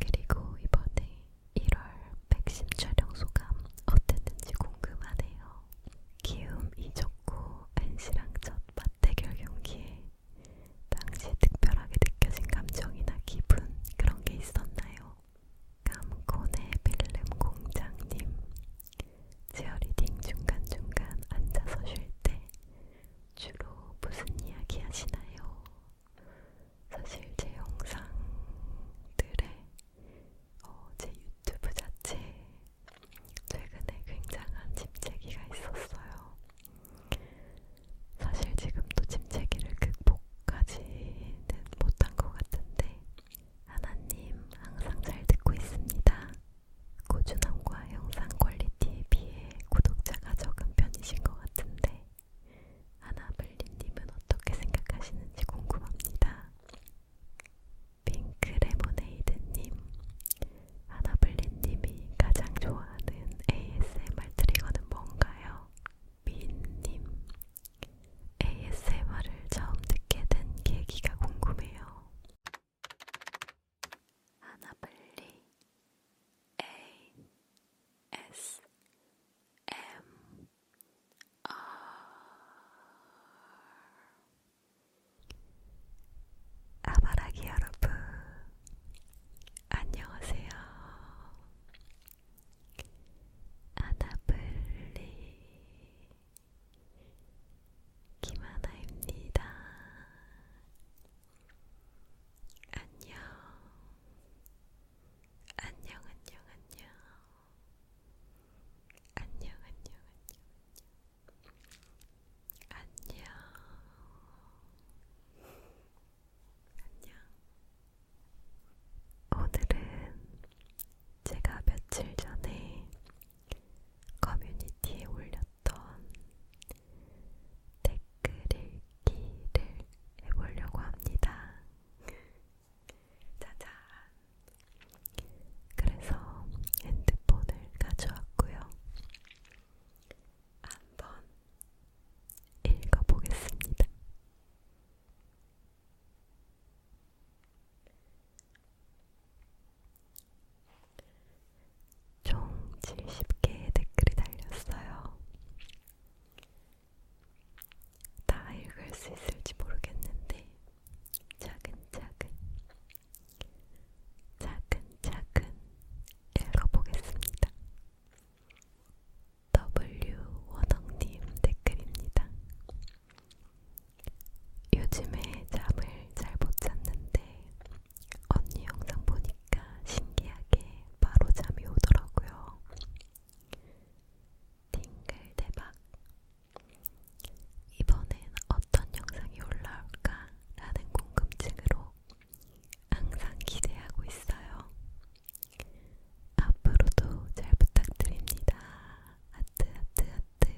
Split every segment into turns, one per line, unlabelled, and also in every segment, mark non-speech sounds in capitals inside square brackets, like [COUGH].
그리고 이번에 1월 백신 촬영 소감 어땠는지 궁금하네요. 기움 이적구 NC랑 첫 맞대결 경기에 당시 특별하게 느껴진 감정이나 기분 그런 게 있었나요? 감코네 필름 공장님 제어리딩 중간중간 앉아서 쉴 때 주로 무슨 이야기 하시나요? 사실 제 영상들의 어, 제 유튜브 자체에 최근에 굉장한 침체기가 있었어요. 사실 지금도 침체기를 극복하지는 못한 것 같은데 하나님 항상 잘 듣고 있습니다. 꾸준함과
영상 퀄리티에 비해 구독자가 적은 편이신 것 같은데 하나블리님은 어떻게 생각하시는지 궁금합니다. 핑크 레모네이드님, 하나블리님이 가장 좋아하는 ASMR 트리거는 뭔가요? 미인님, ASMR을 처음 듣게 된 계기가 궁금해요. 하나블리, A S M R 아바라기 여러분 안녕하세요. 아나블리 김하나입니다. 안녕. 안녕, 안녕, 안녕. 안녕, 안녕, 안녕. 안녕. 안녕. 오늘은 제가 며칠 전에 커뮤니티에 올렸던 댓글 읽기를 해보려고 합니다. 짜잔! 그래서 핸드폰을 가져왔고요. 한번 읽어보겠습니다. 총 70개의 댓글이 달렸어요. 다 읽을 수 있을지 모르겠는데 작은 작은 작은 작은 읽어보겠습니다. W 원영님 댓글입니다. 요즘에 잠을 잘못 잤는데 언니 영상 보니 하니까 신기하게 바로 잠이 오더라고요. 띵글 대박! 이번엔 어떤 영상이 올라올까? 라는 궁금증으로 항상 기대하고 있어요. 앞으로도 잘 부탁드립니다. 하트, 하트, 하트.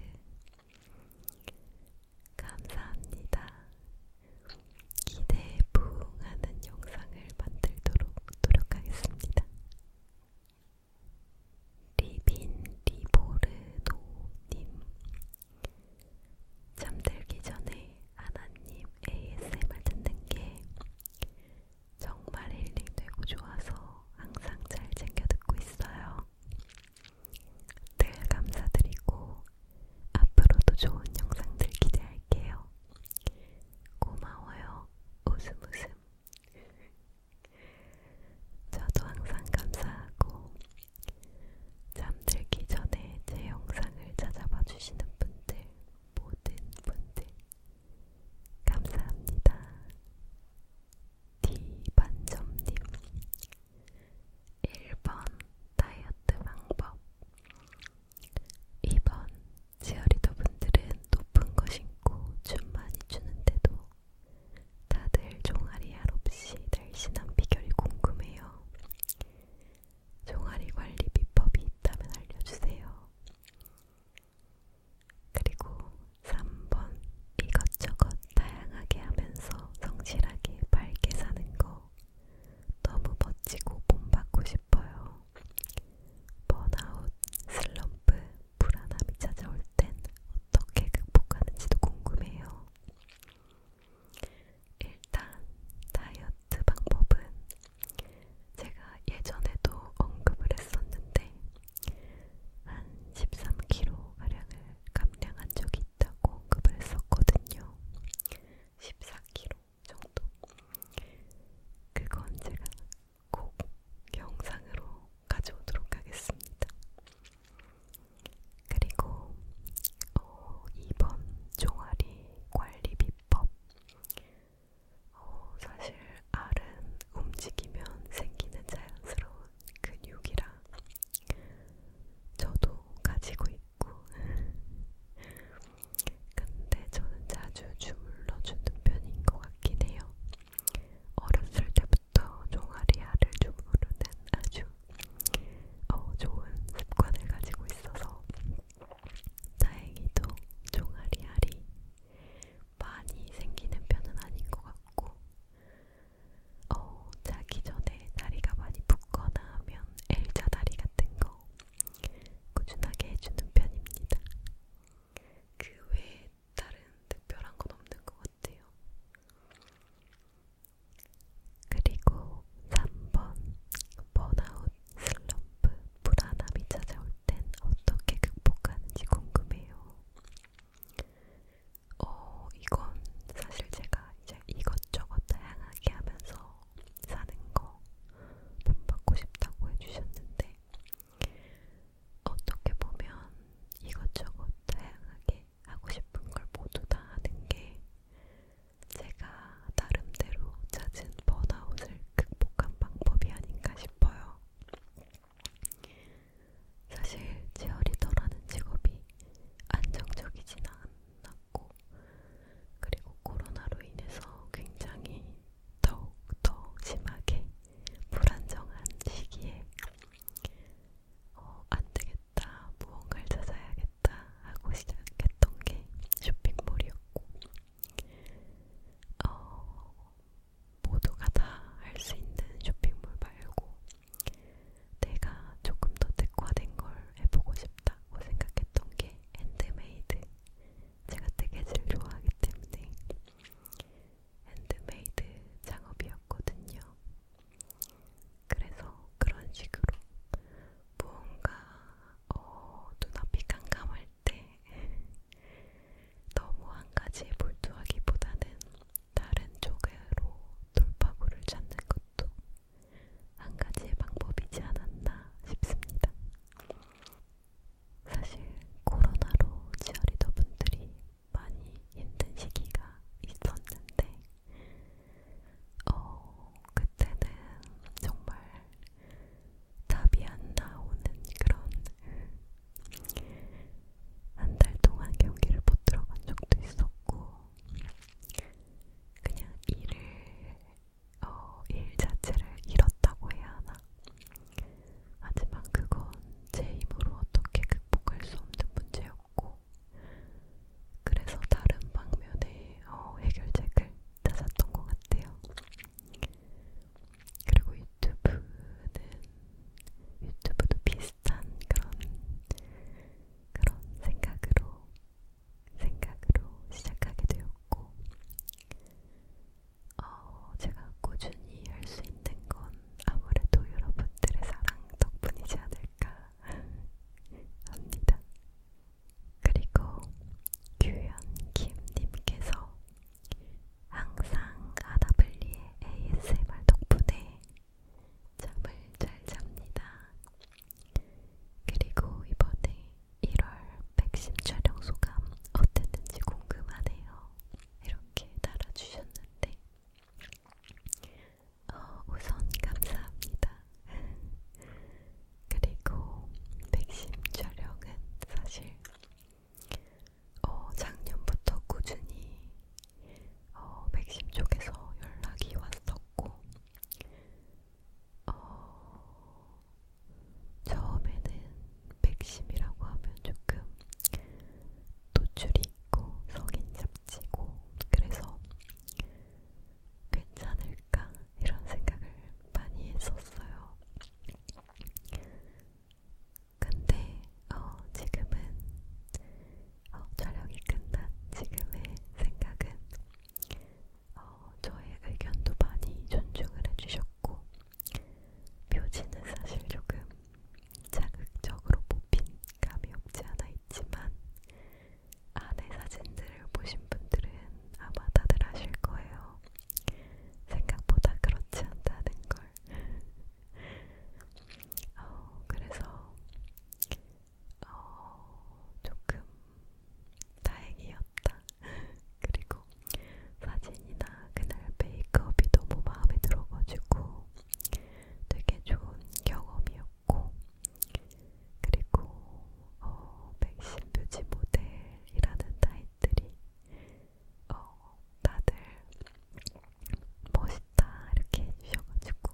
감사합니다. 기대에 부응하는 영상을 만들도록 노력하겠습니다. 리빈 리보르노님 잠들기 전에 아나님 ASMR 듣는 게 정말 힐링되고 좋아서 항상 잘 챙겨 듣고 있어요. 늘 감사드리고 앞으로도 좋은 영상들 기대할게요. 고마워요. 웃음 웃음. 저도 항상 감사하고 잠들기 전에 제 영상을 찾아봐 주시는 분들 모든 분들 감사합니다. 디반점님 1번 다이어트 방법 2번 제어리더 분들은 높은 거 신고 춤 많이 추는데도 다들 종아리 알 없이 날씬한 비결이 궁금해요. 종아리 관리 비법이 있다면 알려주세요. 그리고 3번 이것저것 다양하게 하면서 성실하게 밝게 사는 거 너무 멋지고 본받고 싶어요. 싶어요. 번아웃, 슬럼프, 불안함이 찾아올 땐 어떻게 극복하는지도 궁금해요. 일단 다이어트 방법은 제가 예전에도 언급을 했었는데 한 13kg 가량을 감량한 적이 있다고 언급을 했었거든요. 14kg 정도. 그건 제가 꼭 영상으로 가져오도록 하겠습니다. 그리고 어, 이번 종아리 관리 비법. 어, 사실 알은 움직이면 생기는 자연스러운 근육이라 저도 가지고 있고 [LAUGHS] 근데 저는 자주 주물러 주는 편인 것 같긴 해요. 어렸을 때부터 종아리알을 주무르는 아주 어, 좋은 습관을 가지고 있어서 다행히도 종아리알이 많이 생기는 편은 아닌 것 같고 어, 자기 전에 다리가 많이 붓거나 하면 L자 다리 같은 거 꾸준하게 해주는 편입니다. 그 외에 다른 특별한 건 없는 것 같아요. 그리고 3번 번아웃, 슬럼프, 불안함이 찾아올 땐 어떻게 극복하는지 궁금해요. 어, 이건 사실 제가 이제 이것저것 다양하게 하면서 사는 거 본받고 싶다고 해주셨는데 어떻게 보면 이것저것 다양하게 하고 싶은 걸 모두 다 하는 게 제가 나름대로 찾은 번아웃을 극복한 방법이 아닌가 싶어요. 사실 제어리더라는 직업이 안정적이진 않았고 그리고 코로나로 인해서 굉장히 더욱더 심하게 불안정한 시기에 어, 안되겠다, 무언가를 찾아야겠다 하고 시작했던 게 쇼핑몰이었고 어, 모두가 다 할 수 있는 쇼핑몰 말고 내가 조금 더 특화된 걸 해보고 싶다고 생각했던 게 핸드메이드 제가 뜨개질을 좋아하기 때문에 핸드메이드 작업이었거든요. 그래서 그런 식으로 무언가 어, 눈앞이 깜깜할 때 [LAUGHS] 너무 한 가지에 몰두하기보다는 다른 쪽으로 돌파구를 찾는 것도 한 가지의 방법이지 않았나 싶습니다. 사실 코로나로 치어리더 분들이 많이 힘든 시기가 있었는데, 어, 그때는 정말 답이 안 나오는 그런 한 달 동안 경기를 못 들어간 적도 있었고, 그냥 일을 어, 일 자체를 잃었다고 해야 하나? 하지만 그건 제 힘으로 어떻게 극복할 수 없는 문제였고, 그래서 다른 방면의 어, 해결책을 찾았던 것 같아요. 그리고 유튜브는, 유튜브도 비슷한 그런, 그런 생각으로, 생각으로 시작하게 되었고, 어, 제가 꾸준히 할수 있는 건 아무래도 여러분들의 사랑 덕분이지 않을까 [LAUGHS] 합니다. 그리고 규현김님께서 항상 아나블리의 ASMR 덕분에 잠을 잘 잡니다. 그리고 이번에 1월 백신 촬영 소감 어땠는지 궁금하네요. 이렇게 달아주셨는데, 어, 우선 감사합니다. 그리고 백신 촬영은 사실 어, 작년부터 꾸준히 어, 백신 쪽에서 연락이 왔었고 어, 처음에는 백심이라고 하면 조금 노출이 있고 성인 잡지고 그래서 괜찮을까 이런 생각을 많이 했었어요. 근데 어, 지금은 어, 촬영이 끝난 지금의 생각은 어, 저의 의견도 많이 존중을 해주셨고 묘지는 사실 조금 자극적으로 뽑힌 감이 없지 않아 있지만 안에 사진들을 보신 분들은 아마 다들 아실 거예요. 생각보다 그렇지 않다는 걸. [LAUGHS] 어, 그래서 어, 조금 다행이었다. [LAUGHS] 그리고 사진이나 그날 메이크업이 너무 마음에 들어가지고 되게 좋은 경험이었고, 그리고 어, 맥심 뷰지 모델이라는 타이틀이 어, 다들 멋있다 이렇게 해주셔가지고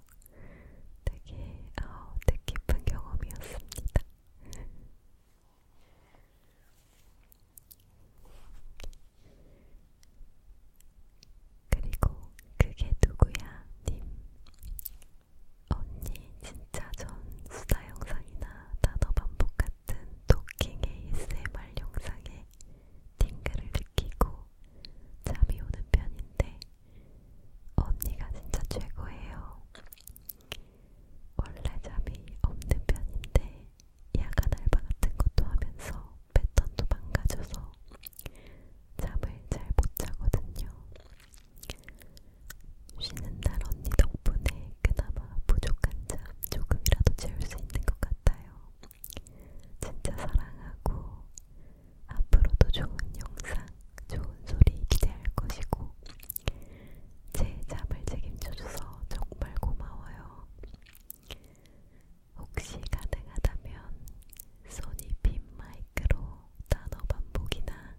되게 어, 뜻깊은 경험이었습니다. [LAUGHS] 그리고 그게 누구야 님 언니 진짜 전 수다 영상이나 단어 반복 같은 토킹 ASMR 영상에 팅글을 느끼고 잠이 오는 편인데 언니가 진짜 최고예요. 원래 잠이 없는 편인데 야간 알바 같은 것도 하면서 패턴도 망가져서 잠을 잘 못 자거든요. 쉬는 날 언니 덕분에 그나마 부족한 잠 조금이라도 채울 수 있는 것 같아요. 진짜 사랑하고 앞으로도 좋은 영상, 좋은 소리 기대할 것이고 제 잠을 책임져줘서 정말 고마워요. 혹시 가능하다면 소니 빔 마이크로 단어 반복이나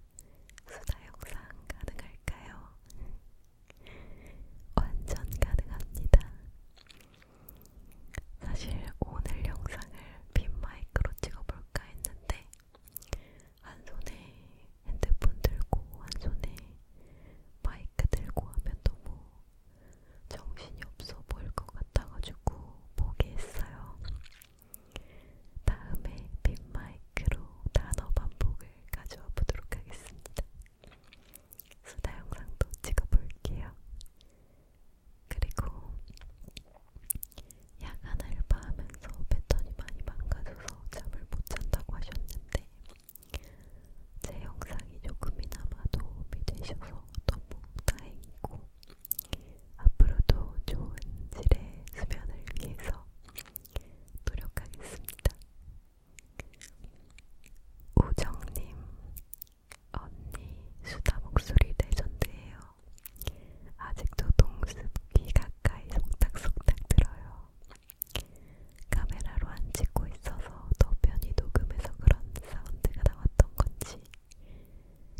수다 영상 가능할까요? 완전 가능합니다. 사실 오늘 영상을 빔 마이크로 찍어볼까 했는데 한 손에 핸드폰 들고 한 손에 마이크 들고 하면 너무 정신이 없어 보일 것 같아가지고 포기했어요. 다음에 빈마이크로 단어 반복을 가져와 보도록 하겠습니다. 수다 영상도 찍어볼게요. 그리고 야간 알바하면서 패턴이 많이 망가져서 잠을 못 잔다고 하셨는데 있는데 제 영상이 조금이나마 도움이 되셔서 너무 다행이고 앞으로도 좋은 질의 수면을 위해서 노력하겠습니다. 우정님, 언니 수다 목소리 레전드예요. 아직도 동습기 가까이 속닥속닥 들어요. 카메라로 안 찍고 있어서 더 편히 녹음해서 그런 사운드가 나왔던 건지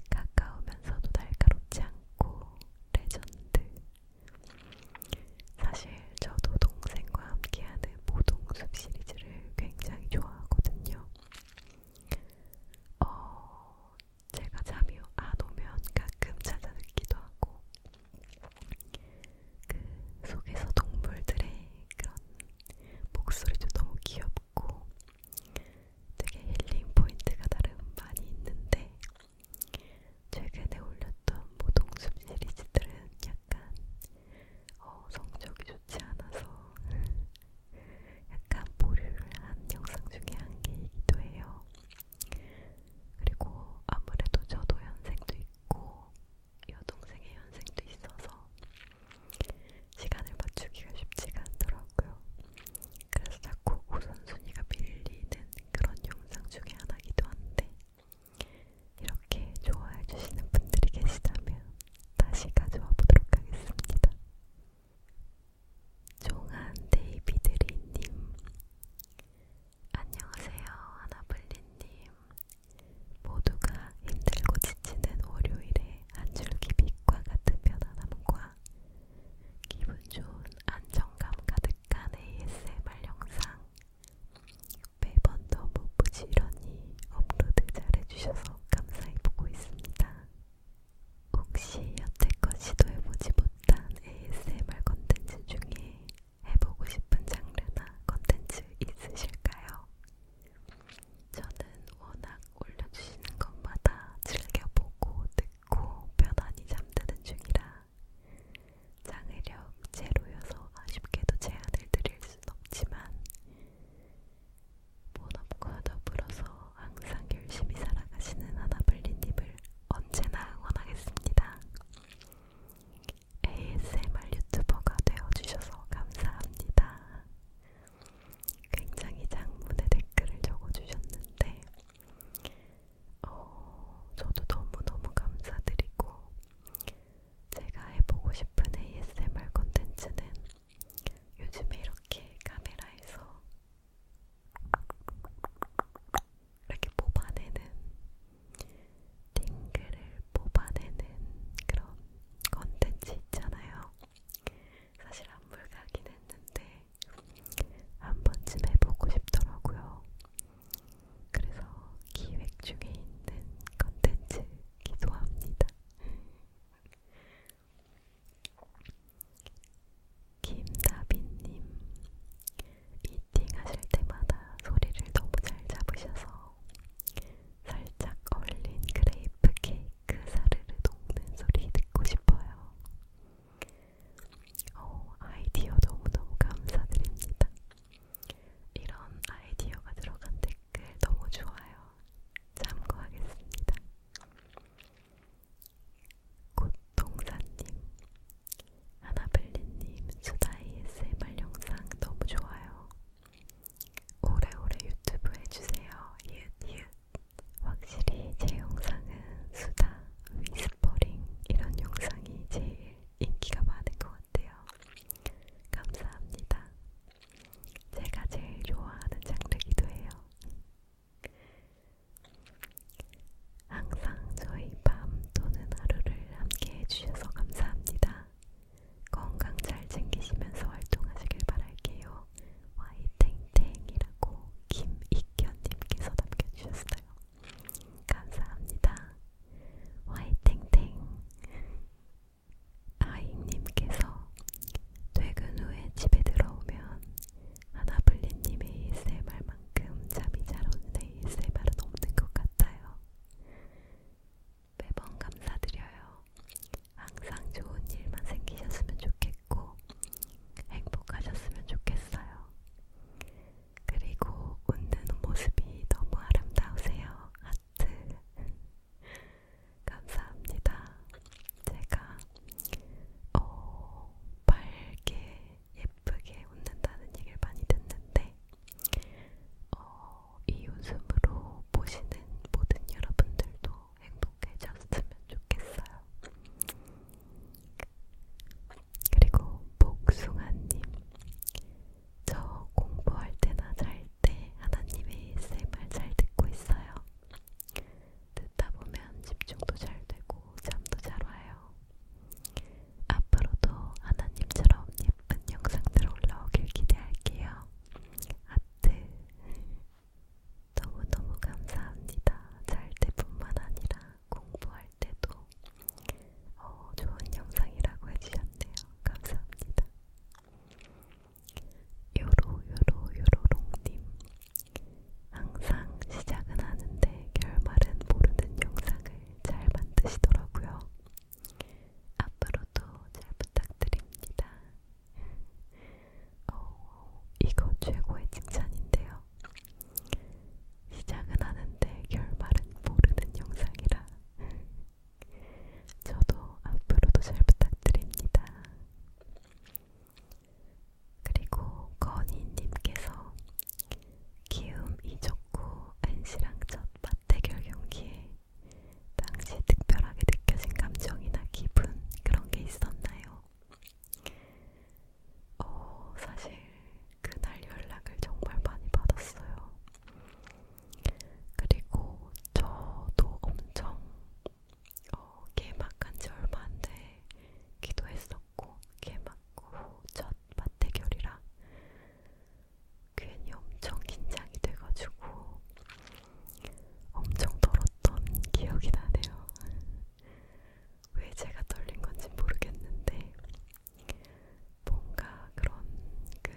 가까우면서도 날카롭지 않고 레전드. 사실 저도 동생과 함께하는 모동숲 시리즈를 굉장히 좋아하거든요. 어, 제가 잠이 안 오면 가끔 찾아듣기도 하고 그 속에서 동물들의 그런 목소리도 너무 귀엽고 되게 힐링 포인트가 나름 많이 있는데 최근에 올렸던 모동숲 시리즈들은 약간 어, 성적이 좋지 않아서 [LAUGHS] 약간 보류를 한 영상 중에 한 개이기도 해요. 그리고 아무래도 저도 연생도 있고 여동생의 연생도 있어서 시간을 맞추기가 쉽지가 않더라고요. 그래서 자꾸 우선순위가 밀리는 그런 영상 중에 하나기도 한데 이렇게 좋아해 주시는 분들이 계시다면 다시 가져와 보도록 하겠습니다. 종한 데이비드리님 안녕하세요, 하나블리님. 모두가 힘들고 지치는 월요일에 한 줄기 빛과 같은 편안함과 기분 좋은 안정감 가득한 ASMR 영상 매번 너무 부지런히 업로드 잘해주셔서 감사히 보고 있습니다. 혹시 여태껏 시도해보지 못한 ASMR 컨텐츠 중에 해보고 싶은 장르나 컨텐츠 있으실까요? 저는 워낙 올려주시는 것마다 즐겨보고 듣고 편안히 잠드는 중이라 장애력 제로여서 아쉽게도 제안을 드릴 순 없지만 본업과 더불어서 항상 열심히 살아가시는 하나블리님을 언제나 응원하겠습니다. ASMR 유튜버가 되어주셔서 감사합니다. 굉장히 장문의 댓글을 적어주셨는데, 어, 저도 너무너무 감사드리고, 제가 해보고 싶은 ASMR 컨텐츠는 요즘에 이렇게 카메라에서 이렇게 뽑아내는 띵글을 뽑아내는 그런 컨텐츠 있잖아요. 사실 안 물가긴 했는데 한 번쯤 해보고 싶더라고요. 그래서 기획 중에 있는 컨텐츠기도 합니다. [LAUGHS] 김다빈님, 미팅 하실 때마다 소리를 너무 잘 잡으셔서 살짝 얼린 그레이프 케이크 사르르 녹는 소리 듣고 싶어요. 오, 어, 아이디어 너무너무 감사드립니다. 이런 아이디어가 들어간 댓글 너무 좋아요. 참고하겠습니다. 고통사님, 아나벨리님 수다 ASMR 영상 너무 좋아요. 오래오래 유튜브 해주세요. 이읒 이읒. 확실히 제 영상은 수다, 위스퍼링 이런 영상이 제일 인기가 많은 것 같아요. 감사합니다. 제가 제일 좋아하는 장르기도 해요. 항상 저희 밤 또는 하루를 함께 해주셔서 감사합니다. 건강 잘 챙기시면서 활동하시길 바랄게요. 와이탱탱이라고 김익현님께서 남겨주셨어요. 감사합니다. 와이탱탱 아이님께서 퇴근 후에 집에 들어오면 하나블리님의 ASMR 그만큼 잠이 잘 오는 ASMR은 없는 것 같아요. 매번 감사드려요. 항상 좋은 일만 생기셨으면 좋겠고 행복하셨으면 좋겠어요. 그리고 웃는 모습이 너무 아름다우세요. 하트. [LAUGHS] 감사합니다. 제가 어, 8개 예쁘게 웃는다는 얘기를 많이 듣는데 어, 이 웃음으로 보시는 모든 여러분들도 행복해졌으면 좋겠어요. 그리고 복숭아님, 저 공부할 때나 잘 때 하나님의 ASMR 잘 듣고 있어요. 듣다 보면 집중도 잘 되고 잠도 잘 와요. 앞으로도 하나님처럼 예쁜 영상들 올라오길 기대할게요. 아트 너무너무 감사합니다. 잘 때뿐만 아니라 공부할 때도 어, 좋은 영상이라고 해주셨네요. 감사합니다. 요로요로요로롱님 항상 시작은 하는데 결말은 모르는 영상을 잘 만드시더라고요. 앞으로도 잘 부탁드립니다. 오, 어, 이거 최고의 칭찬인데요. 시작은 하는데 결말은 모르는 영상이라. 저도 앞으로도 잘 부탁드립니다. 그리고 건희님께서 키움 이적구 NC랑 첫 맞대결 경기에 당시 특별하게 느껴진 감정이나 기분 그런 게 있었나요? 어, 사실 그날 연락을 정말 많이 받았어요. 그리고 저도 엄청 어, 개막한 지 얼마 안돼 기도했었고 개막 후 첫 맞대결이라 괜히 엄청 긴장이 돼가지고 엄청 떨었던 기억이 나네요. 왜 제가 떨린 건지 모르겠는데 뭔가 그런 그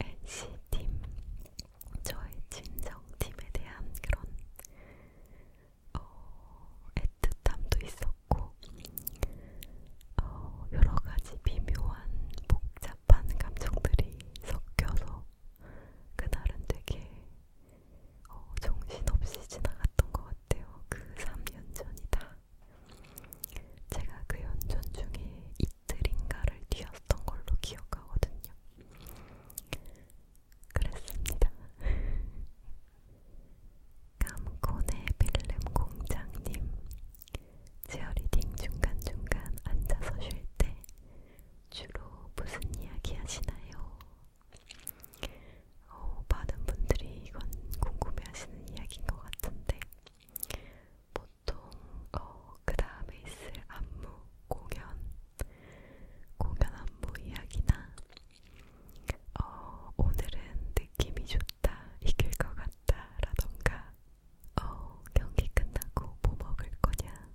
NC팀 저의 친정팀에 대한 그런 어, 애틋함도 있었고 있었고 어, 여러 가지 미묘한 복잡한 감정들이 섞여서 그날은 되게 어, 정신없이 지나갔던 것 같아요. 그 3년 전이다. 제가 그 연전 중에 이틀인가를 뛰었던 걸로 기억하거든요. 그랬습니다. 감코네 필름 공장님 제어리딩 중간중간 앉아서 쉴 때 주로 무슨 이야기 하시나요? 어, 많은 분들이 이건 궁금해하시는 이야기인 것 같은데 보통 어, 그 다음에 있을 안무, 공연, 공연 안무 이야기나 어, 오늘은 느낌이 좋다 같다, 이길 것 같다, 라던가, 어, 경기 끝나고 뭐 먹을 거냐,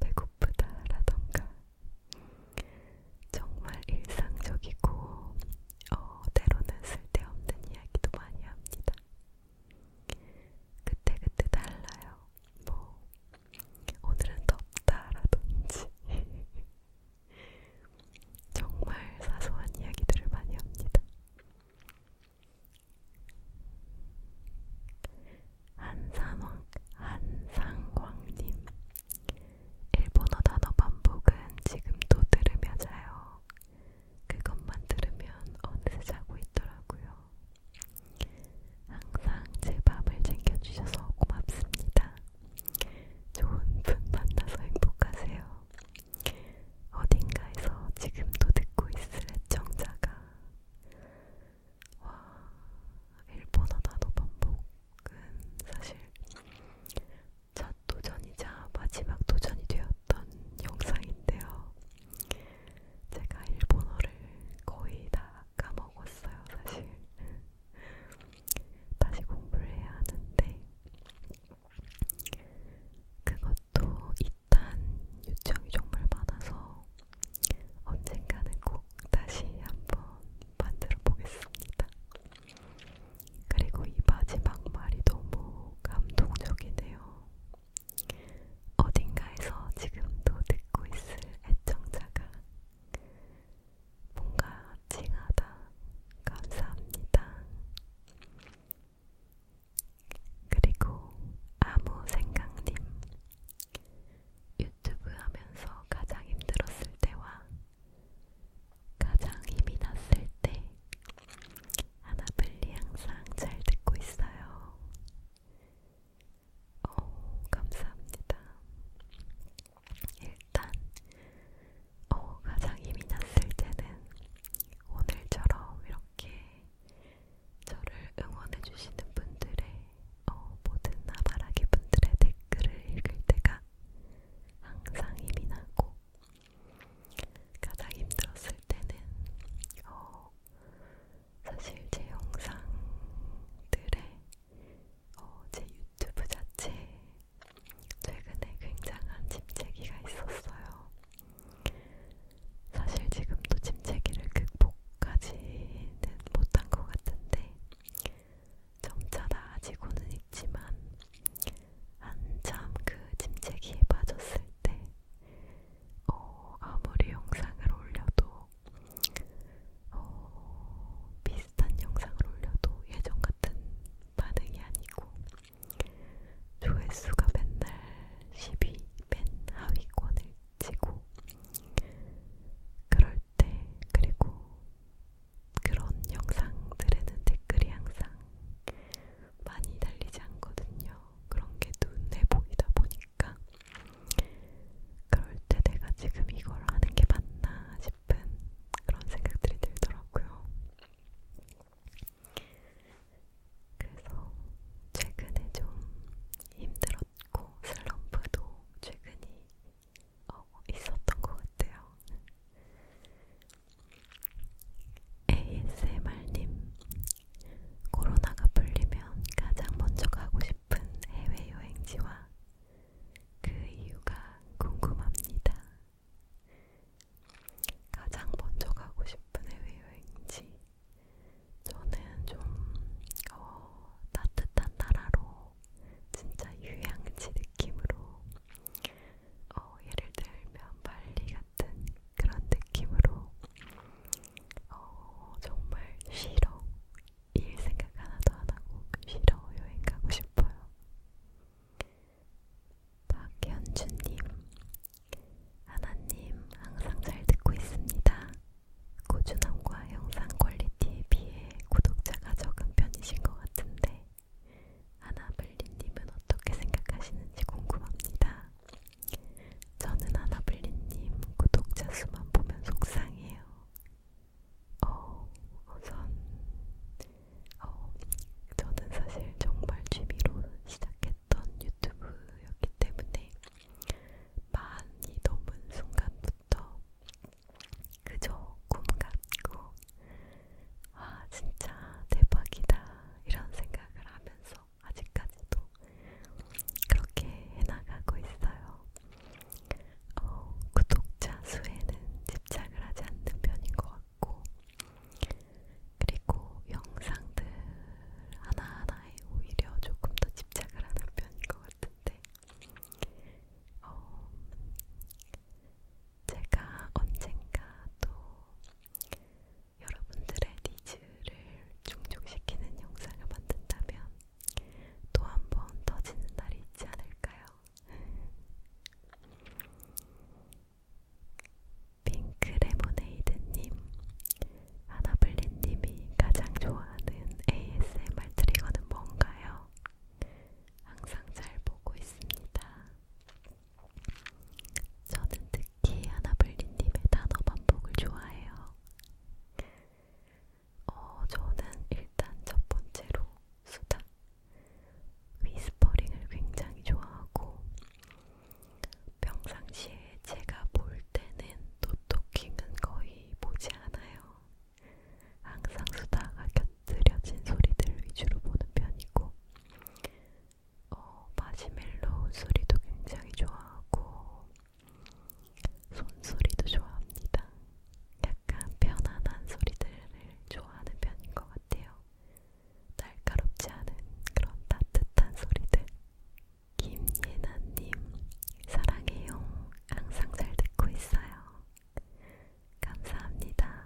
배고프다, 라던가, 정말 일상적이고, 어, 때로는 쓸데없는 이야기도 많이 합니다. 그때그때 달라요. 뭐, 오늘은 덥다라든지, [LAUGHS] 정말 사소한 이야기들을 많이 합니다. 한상왕, 한상광님. 일본어 단어 반복은 지금도 들으며 자요. 그것만 들으면 어느새 자고 있더라고요. 항상 제 밥을 챙겨주셔서 고맙습니다. 좋은 분 만나서 행복하세요. 어딘가에서 지금도 듣고 있을 애청자가 와 일본어 단어 반복은 사실 첫 도전이자 마지막 도전이 되었던 영상인데요. 제가 일본어를 거의 다 까먹었어요, 사실. 다시 공부를 해야 하는데 그것도 일단 요청이 정말 많아서 언젠가는 꼭 다시 한번 만들어 보겠습니다. 그리고 이 마지막 말이 너무 감동적이네요. 어딘가에서 지금도 듣고 있을 애청자가 뭔가 찡하다, 감사합니다. 그리고 아무 생각님 유튜브 하면서 가장 힘들었을 때와 가장 힘이 났을 때 하나블리 항상 잘 듣고 있어요. 오, 감사합니다. 일단 어, 가장 힘이 났을 때는 오늘처럼 이렇게 저를 응원해주시는 분들의 어, 모든 나바라기 분들의 댓글을 읽을 때가 항상 힘이 나고 가장 힘들었을 때는 어, 사실 제 영상들의 어, 제 유튜브 자체에 최근에 굉장한 침체기가 있었어요. 사실 지금도 침체기를 극복하지는 못한 것 같은데 점차 나아지고는 있지만 한참 그 침체기에 빠졌을 때 어, 아무리 영상을 올려도 어, 비슷한 영상을 올려도 예전 같은 반응이 아니고 조회수가 맨날 10위 맨 하위권을 치고 그럴 때 그리고 그런 영상들에는 댓글이 항상 많이 달리지 않거든요. 그런 게 눈에 보이다 보니까 그럴 때 내가 지금 이걸 하는 게 맞나 싶은 그런 생각들이 들더라고요. 그래서 최근에 좀 힘들었고 슬럼프도 최근이 어, 있었던 것 같아요. ASMR님, 코로나가 풀리면 가장 먼저 가고 싶은 해외여행지와 그 이유가 궁금합니다. 가장 먼저 가고 싶은 해외여행지 저는 좀 어, 따뜻한 나라로 진짜 휴양지 느낌으로 어, 예를 들면 발리 같은 그런 느낌으로 어, 정말 쉬러 일 생각 하나도 안 하고 쉬러 그 여행 가고 싶어요. 박현주님, 하나님 항상 잘 듣고 있습니다. 고준함과 영상 퀄리티에 비해 구독자가 적은 편이신 것 같은데 아나블리님은 어떻게 생각하시는지 궁금합니다. 저는 아나블리님 구독자 수만 보면 속상해요. 어, 우선 어, 저는 사실 정말 취미로 시작했던 유튜브였기 때문에 많이 넘은 순간부터 그저 꿈 같고 아 진짜 대박이다 이런 생각을 하면서 아직까지도 그렇게 해나가고 있어요. 어, 구독자 수에는 집착을 하지 않는 편인 것 같고, 그리고 영상들 하나하나에 오히려 조금 더 집착을 하는 편인 것 같은데, 어, 제가 언젠가 또 여러분들의 니즈를 충족시키는 영상을 만든다면 또 한번 터지는 날이 있지 않을까요? 핑크레모네이드님, 아나블린님이 가장 좋아하는 ASMR 트리거는 뭔가요? 항상 잘 보고 있습니다. 저는 특히 아나블린님의 단어 반복을 좋아해요. 어, 저는 일단 첫 번째로 수다. 위스퍼링을 굉장히 좋아하고 평상시에 제가 볼 때는 노토킹은 거의 보지 않아요. 항상 수다가 곁들여진 소리들 위주로 보는 편이고 어, 마시멜로 소리도 굉장히 좋아하고 손소리도 좋아합니다. 약간 편안한 소리들을 좋아하는 편인 것 같아요. 날카롭지 않은 그런 따뜻한 소리들. 김예나님, 사랑해요. 항상 잘 듣고 있어요. 감사합니다.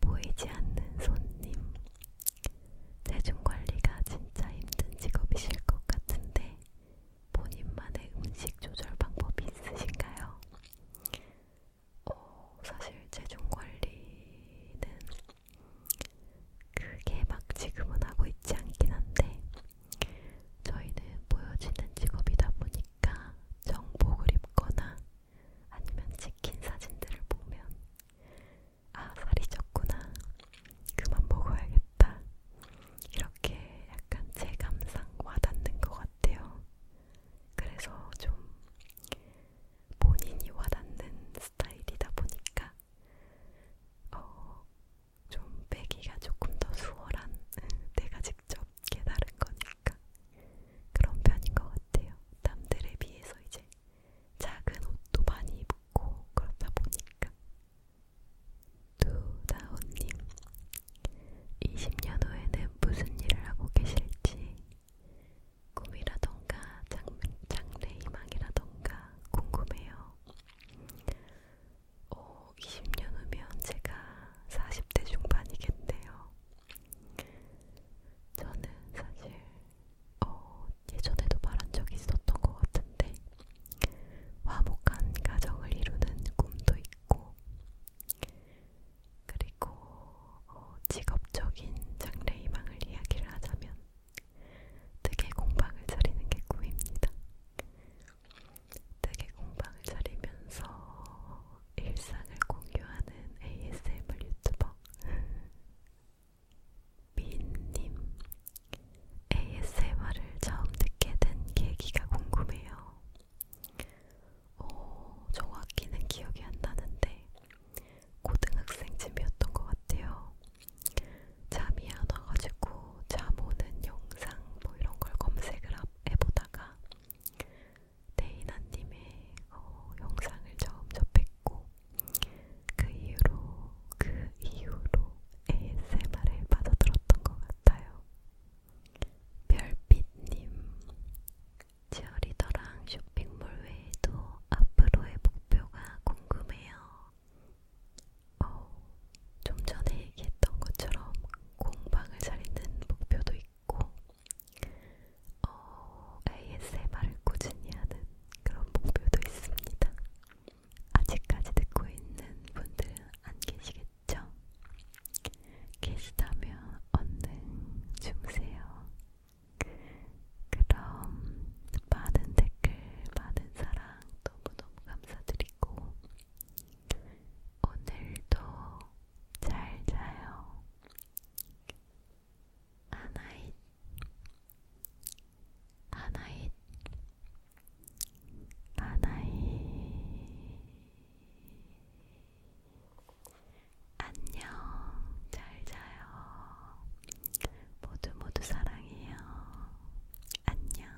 보이지 않는 손님. 체중 관리가 진짜 힘든 직업이실 것 같은데, 본인만의 음식 조절 방법이 있으신가요? 어, 사실 체중 관리는 크게 막 지금은 하고 있지 않긴 한데 저희는 보여지는 직업이다 보니까 정복을 입거나 아니면 찍힌 사진들을 보면 아 살이 쪘구나 그만 먹어야겠다 이렇게 약간 제 감상 와닿는 것 같아요. 그래서 좀 본인이 와닿는 스타일이다 보니까 어, 좀 빼기가 조금 더 수월한 내가 직접 깨달은 거니까 그런 편인 것 같아요. 남들에 비해서 이제 작은 옷도 많이 입고 그렇다 보니까 두다오님 20년 후에는 무슨 일을 하고 계실지 꿈이라던가 장, 장래희망이라던가 궁금해요. 오, 어, 20년 후면 제가 40대 중반이겠네요. 저는 사실 어, 예전에도 말한 적이 있었던 것 같은데 화목한 가정을 이루는 꿈도 있고 그리고 어, 직업적인 장래희망을 이야기를 하자면 뜨개 공방을 차리는 게 꿈입니다. 뜨개 공방을 차리면서 일상을 공유하는 ASMR 유튜버 [LAUGHS] 미인님 ASMR을 처음 듣게 된 계기가 궁금해요. 어, 정확히는 기억이 안 나는데 고등학생쯤이었던 것 같아요. 잠이 안 와가지고 잠 오는 영상 뭐 이런 걸 검색을 해보다가 데이나님의 어, 영상을 처음 접했고 그 이후로 그 이후로 ASMR에 빠져들었던 것 같아요. 별빛님 치어리더랑 쇼핑몰 외에도 앞으로의 목표가 궁금해요. 어, 좀 전에 얘기했던 것처럼 공방을 차리는 목표도 있고, 어, ASMR을 꾸준히 하는 그런 목표도 있습니다. 아직까지 듣고 있는 분들은 안 계시겠죠? 계시다면 얼른 주무세요. 그럼 많은 댓글, 많은 사랑 너무너무 감사드리고 오늘도 잘 자요. 하나잇, 아 하나잇, 아 하나잇. 아 안녕, 잘 자요. 모두 모두 사랑해요. 안녕.